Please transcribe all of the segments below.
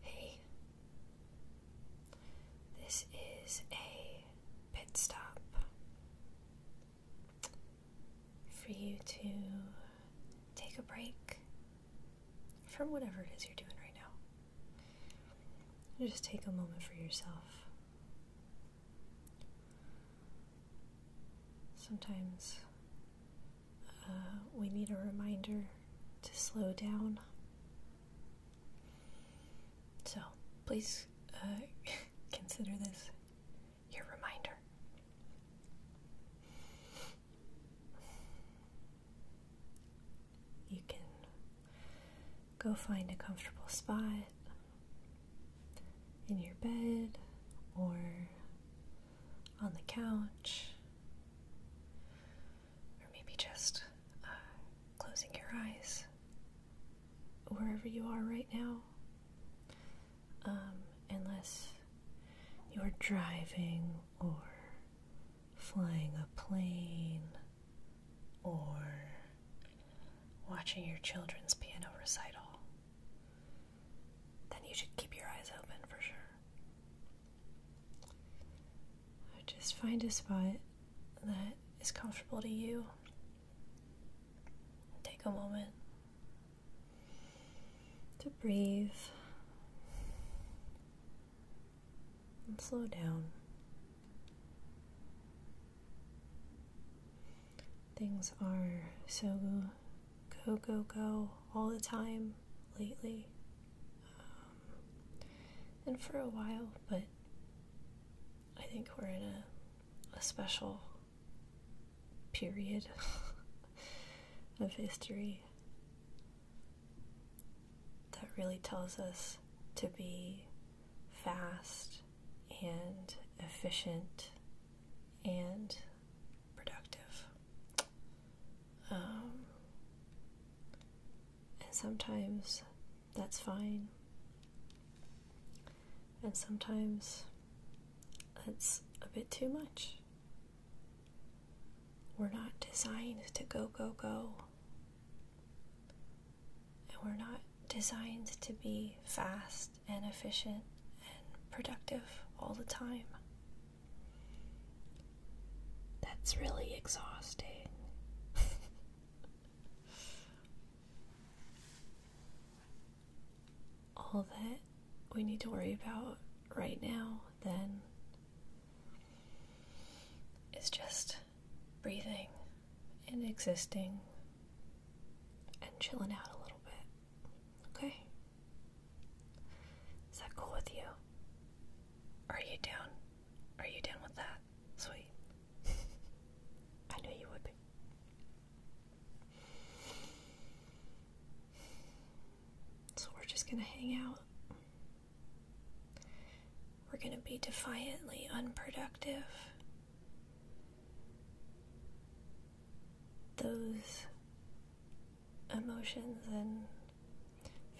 Hey, this is a pit stop for you to take a break from whatever it is you're doing right now. just take a moment for yourself. Sometimes uh, we need a reminder to slow down. So please uh, consider this your reminder. You can go find a comfortable spot in your bed or on the couch, or maybe just uh, closing your eyes wherever you are right now. Um, unless you're driving or flying a plane or watching your children's piano recital, then you should keep your eyes open for sure just find a spot that is comfortable to you. Take a moment to breathe and slow down. Things are so go, go, go all the time lately. Um, and for a while, but I think we're in a, a special period of history that really tells us to be fast and efficient and productive. Um, and sometimes that's fine. And sometimes that's a bit too much. We're not designed to go, go, go. And we're not designed to be fast and efficient and productive all the time. That's really exhausting. All that we need to worry about right now, then, is just breathing and existing and chilling out a little bit. Okay. Is that cool with you? Are you down? Are you down with that? Sweet. I knew you would be. So we're just gonna hang out. We're gonna be defiantly unproductive. Those emotions and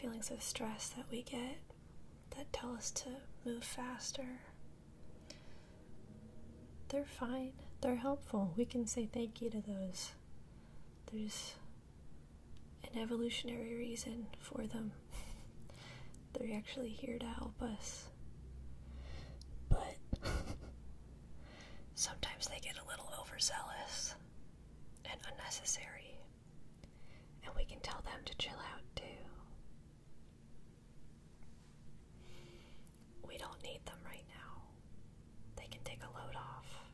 feelings of stress that we get that tell us to move faster. They're fine, they're helpful. We can say thank you to those. There's an evolutionary reason for them. They're actually here to help us. But sometimes they get a little overzealous and unnecessary. And we can tell them to chill out too. We don't need them right now. They can take a load off.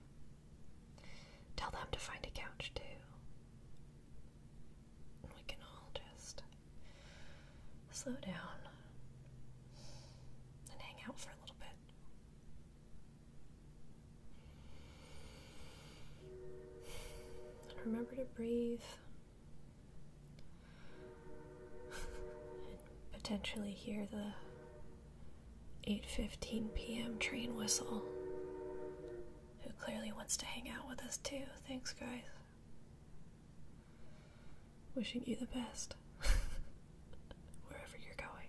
Tell them to find a couch too. we can all just slow down and hang out for a little bit remember to breathe. and potentially hear the 8:15 p.m. train whistle. Who clearly wants to hang out with us too. Thanks guys. Wishing you the best. Wherever you're going.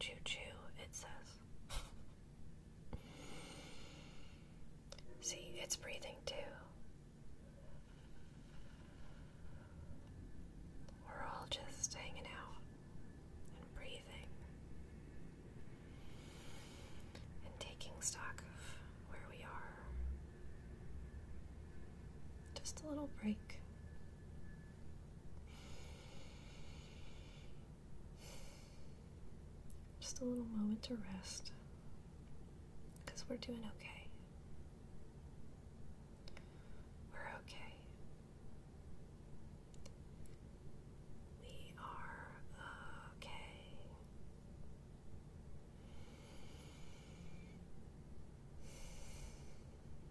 Choo choo, it says. See, it's breathing too. We're all just hanging out and breathing and taking stock of where we are. Just a little break. Just a little moment to rest because we're doing okay. We're okay. We are okay.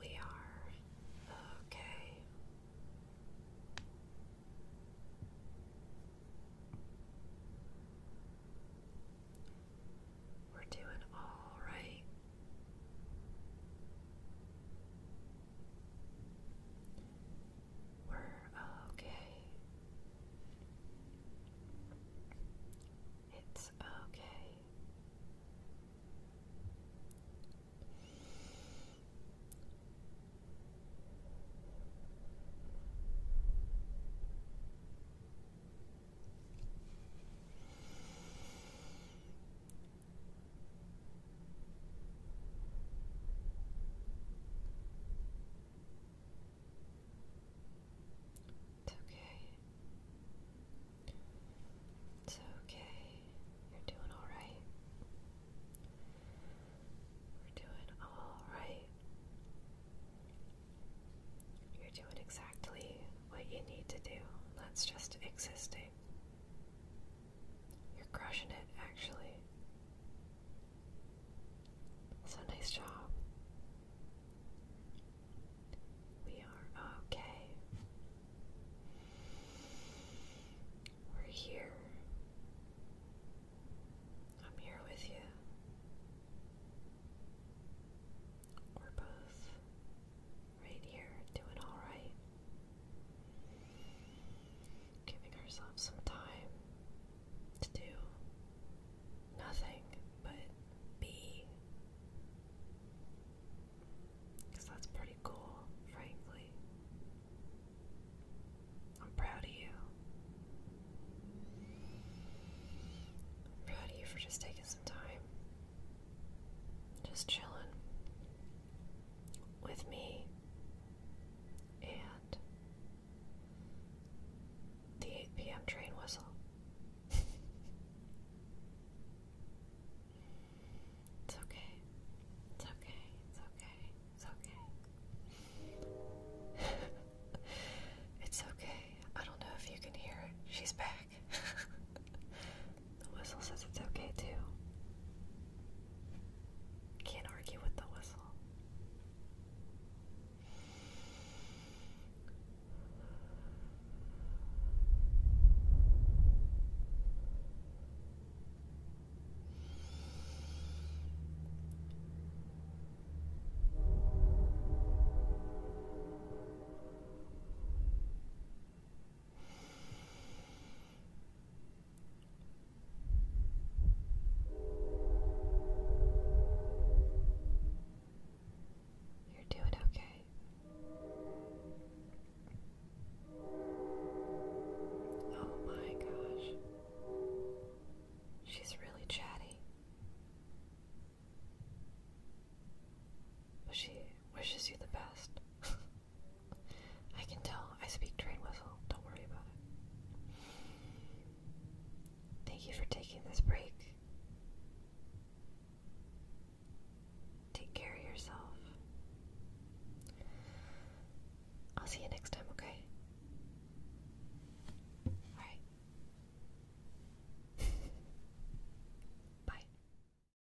We are okay. We're doing all right. We're okay. It's okay. It's okay. It's okay. You're doing all right. We're doing all right. You're doing exactly what you need to do. That's just existing. You're crushing it, actually. So nice job. We are okay. We're here. I'm here with you. We're both right here, doing alright. Giving ourselves some time to do nothing but be. Because that's pretty cool, frankly. I'm proud of you. proud of you for just taking some time just chilling with me and the 8 p.m. train whistle. it's okay. It's okay. It's okay. It's okay. it's okay. I don't know if you can hear it. She's back. the whistle says it's okay too. Can't argue with the whistle. You're doing okay. Oh my gosh. She's really chatty. But she wishes you the best. I can tell. I speak train whistle. Don't worry about it. Thank you for taking this break. Take care of yourself. I'll see you next time, okay? Alright. Bye.